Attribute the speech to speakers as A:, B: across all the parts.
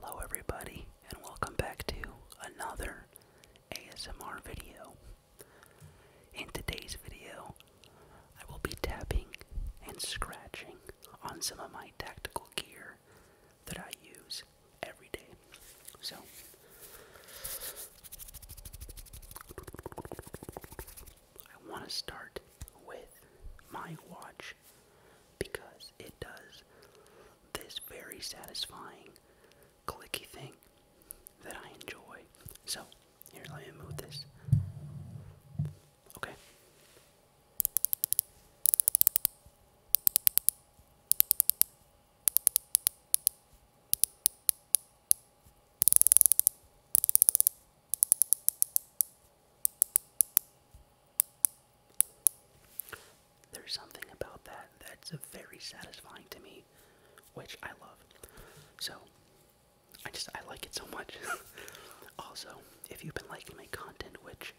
A: Hello, everybody, and welcome back to another ASMR video. In today's video, I will be tapping and scratching on some of my tactical gear that I use every day. So, I want to start with my watch much because it does this very satisfying clicky thing that I enjoy. So, here, let me move this. Okay. There's something about that that's very satisfying to me, which I love. So, I just, I like it so much. also, if you've been liking my content, which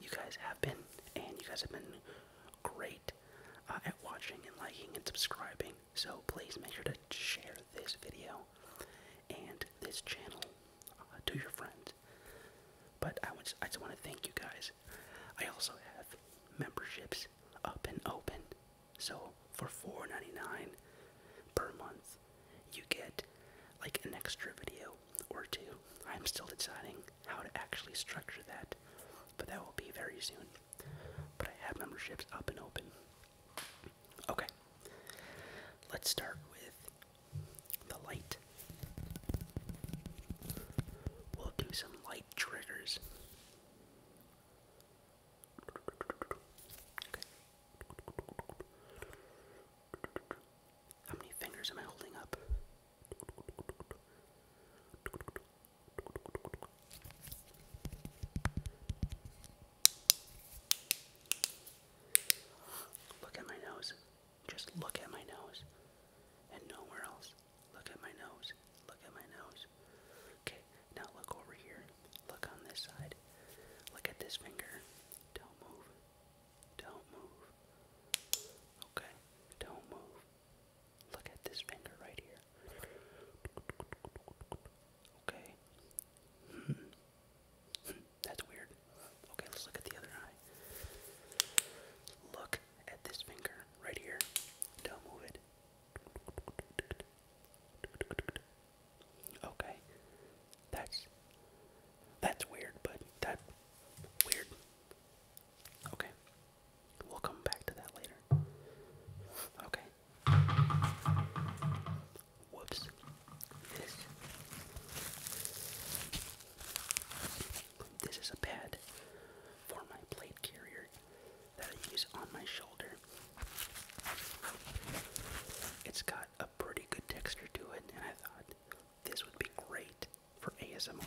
A: you guys have been, and you guys have been great uh, at watching and liking and subscribing, so please make sure to share this video and this channel uh, to your friends. But I, want, I just want to thank you guys. I also have memberships up and open. So for $4.99 per month, you get like an extra video or two. I'm still deciding how to actually structure that, but that will be very soon. But I have memberships up and open. Okay, let's start with the light. We'll do some light triggers. How many fingers am I holding up? Look at my nose. Just look at my nose and nowhere else. Look at my nose. Look at my nose. Okay, now look over here. Look on this side. Look at this finger. Don't move. Don't move. Okay, don't move. Look at this finger right here. Okay. Hmm. Hmm. That's weird. Okay, let's look at the other eye. Look at this finger right here. Don't move it. Okay. That's that's weird, but that weird. Okay. We'll come back to that later. Okay. Whoops. This this is a pad for my plate carrier that I use on my shoulder. It's got a pretty good texture to it, and I thought this would be great for ASMR.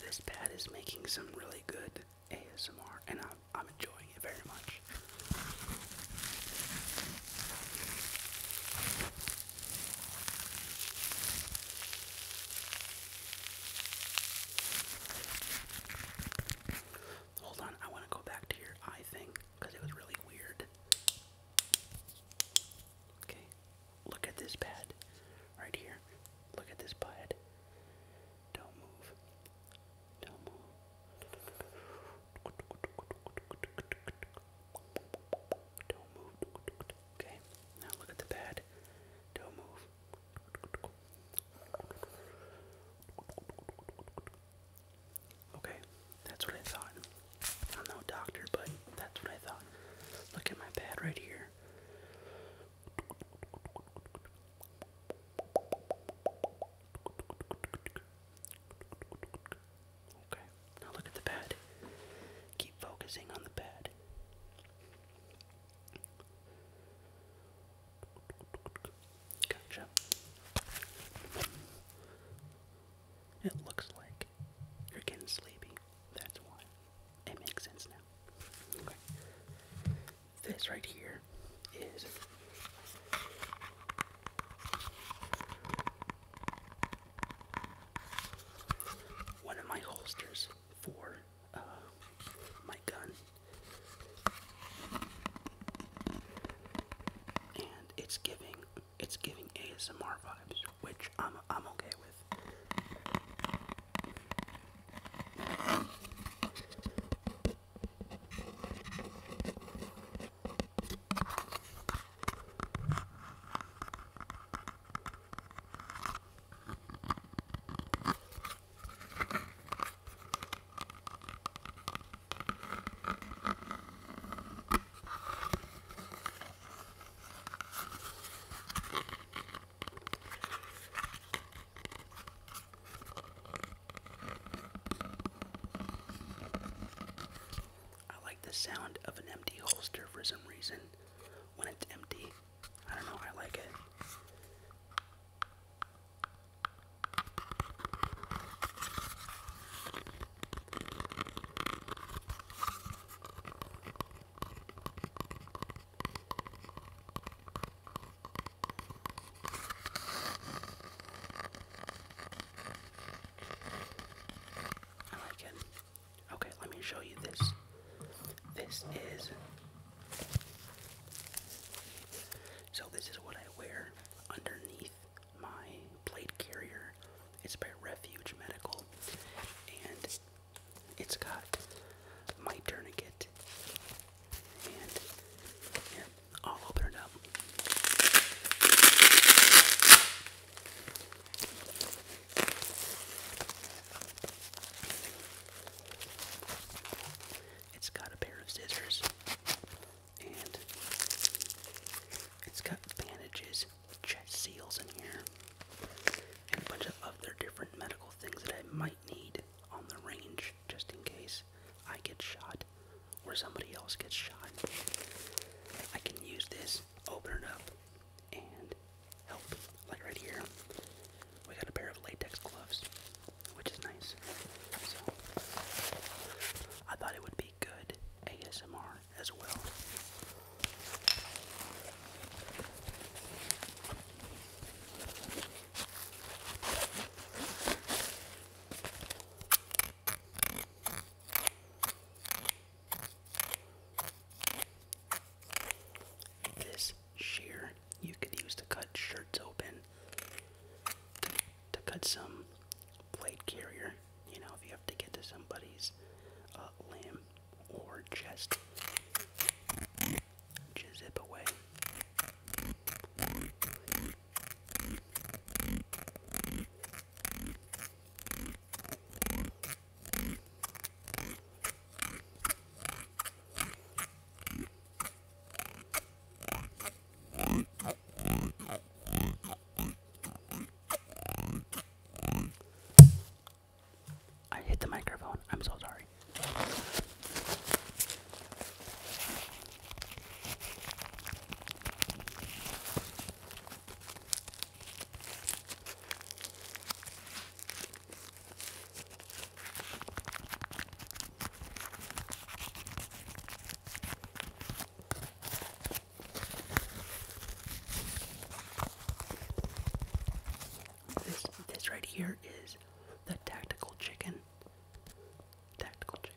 A: This pad is making some really good ASMR, and I'm, I'm enjoying it very much. Hold on, I want to go back to your eye thing because it was really weird. Okay, look at this pad right here. Look at this pad. Don't move. Don't move. Don't move. Okay, now look at the pad. Don't move. Okay, that's what I thought. I'm no doctor, but that's what I thought. Look at my pad right here. Okay, now look at the pad. Keep focusing on the pad. Gotcha. It looks like you're getting sleepy. That's why. It makes sense now. Okay. This right here is one of my holsters for uh, my gun. And it's giving it's giving ASMR vibes, which I'm I'm okay with. I like the sound of an empty holster for some reason. When it's empty, I don't know, I like it. I like it. Okay, let me show you this. This is. So, this is what I wear underneath my plate carrier. It's by Refuge Medical, and it's got my tourniquet. And I'll open it up. It's got a pair of scissors, and it's got bandages, chest seals in here, and a bunch of other different medical things that I might need on the range just in case I get shot or somebody else gets shot. I can use this, open it up, and help. Like right here, we got a pair of latex gloves, which is nice. So I thought it would good ASMR as well. This shear you could use to cut shirts open, to cut some blade carrier, you know, if you have to get to somebody's uh, limb or chest. Just zip away. I hit the microphone. I'm so sorry. This right here is the tactical chicken. Tactical chicken.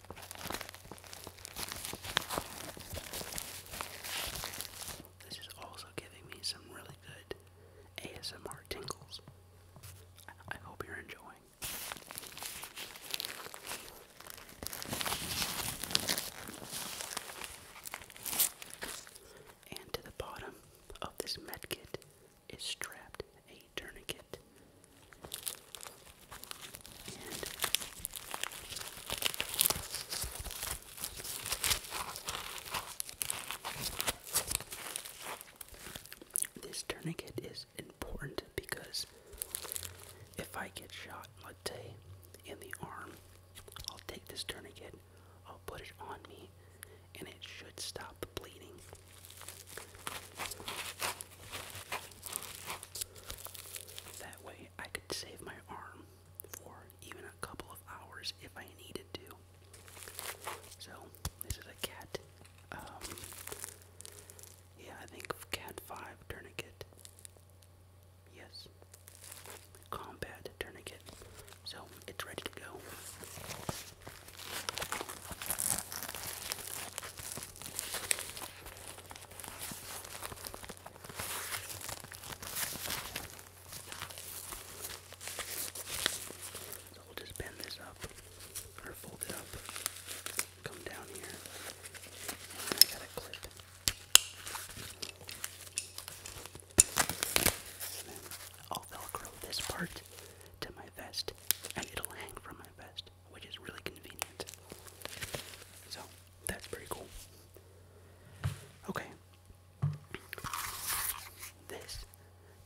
A: This is also giving me some really good ASMR tingles. I hope you're enjoying. And to the bottom of this medkit is strapped a tourniquet. this tourniquet is important because if I get shot, let's say, in the arm, I'll take this tourniquet, I'll put it on me, and it should stop bleeding. That way, I could save my arm for even a couple of hours if I needed to. So, this is a cat. Um, yeah, I think cat 5 tourniquet. Yes. Combat tourniquet. So, it's ready to go. So we'll just bend this up or fold it up, come down here, and I got a clip. And then I'll velcro this part to my vest and it'll hang from my vest which is really convenient. So that's pretty cool. Okay. This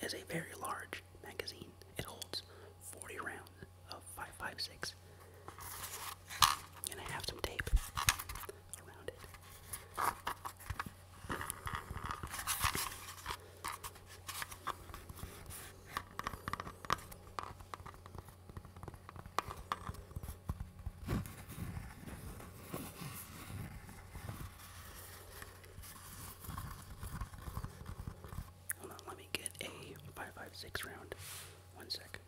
A: is a very large magazine. It holds 40 rounds of 5.56. And I have some tape around it. Hold on, let me get a five five six round. One sec.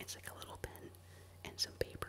A: It's like a little pen and some paper.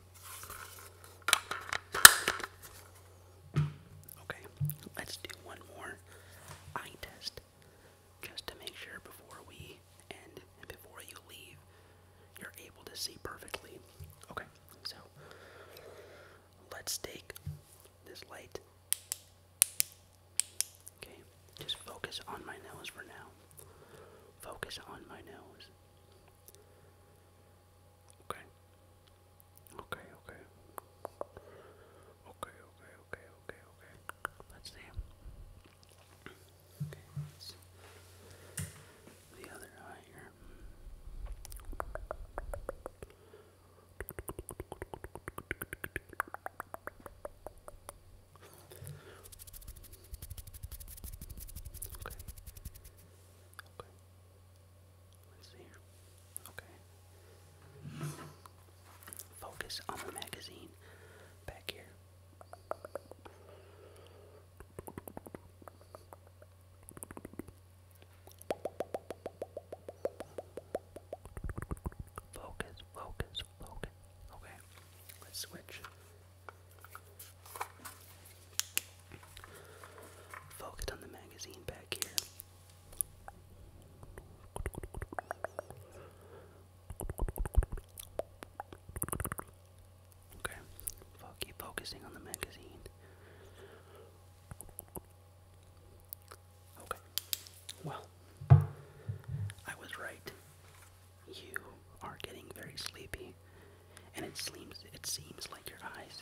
A: Okay, let's do one more eye test just to make sure before we end and before you leave you're able to see perfectly. Okay, so let's take this light. Okay, just focus on my nose for now. Focus on my nose. Okay. Okay, okay. Okay, okay, okay, okay, Let's see. Okay, let's the other eye here. Okay. Okay. Let's see here. Okay. Focus on the magazine back here. Focus, focus, focus. Okay, let's switch. Focus on the magazine back here. Okay, i keep focusing on the magazine. Okay, well, I was right. You are getting very sleepy, and it seems it seems like your eyes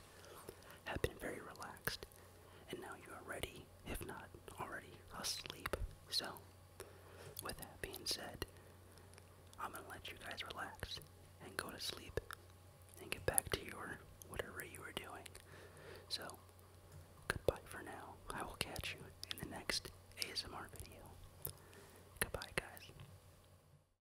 A: have been very relaxed, and now you are ready, if not already, asleep. So, with that being said, I'm gonna let you guys relax and go to sleep and get back to your whatever you were doing. So, goodbye for now. I will catch you in the next ASMR video. Goodbye, guys.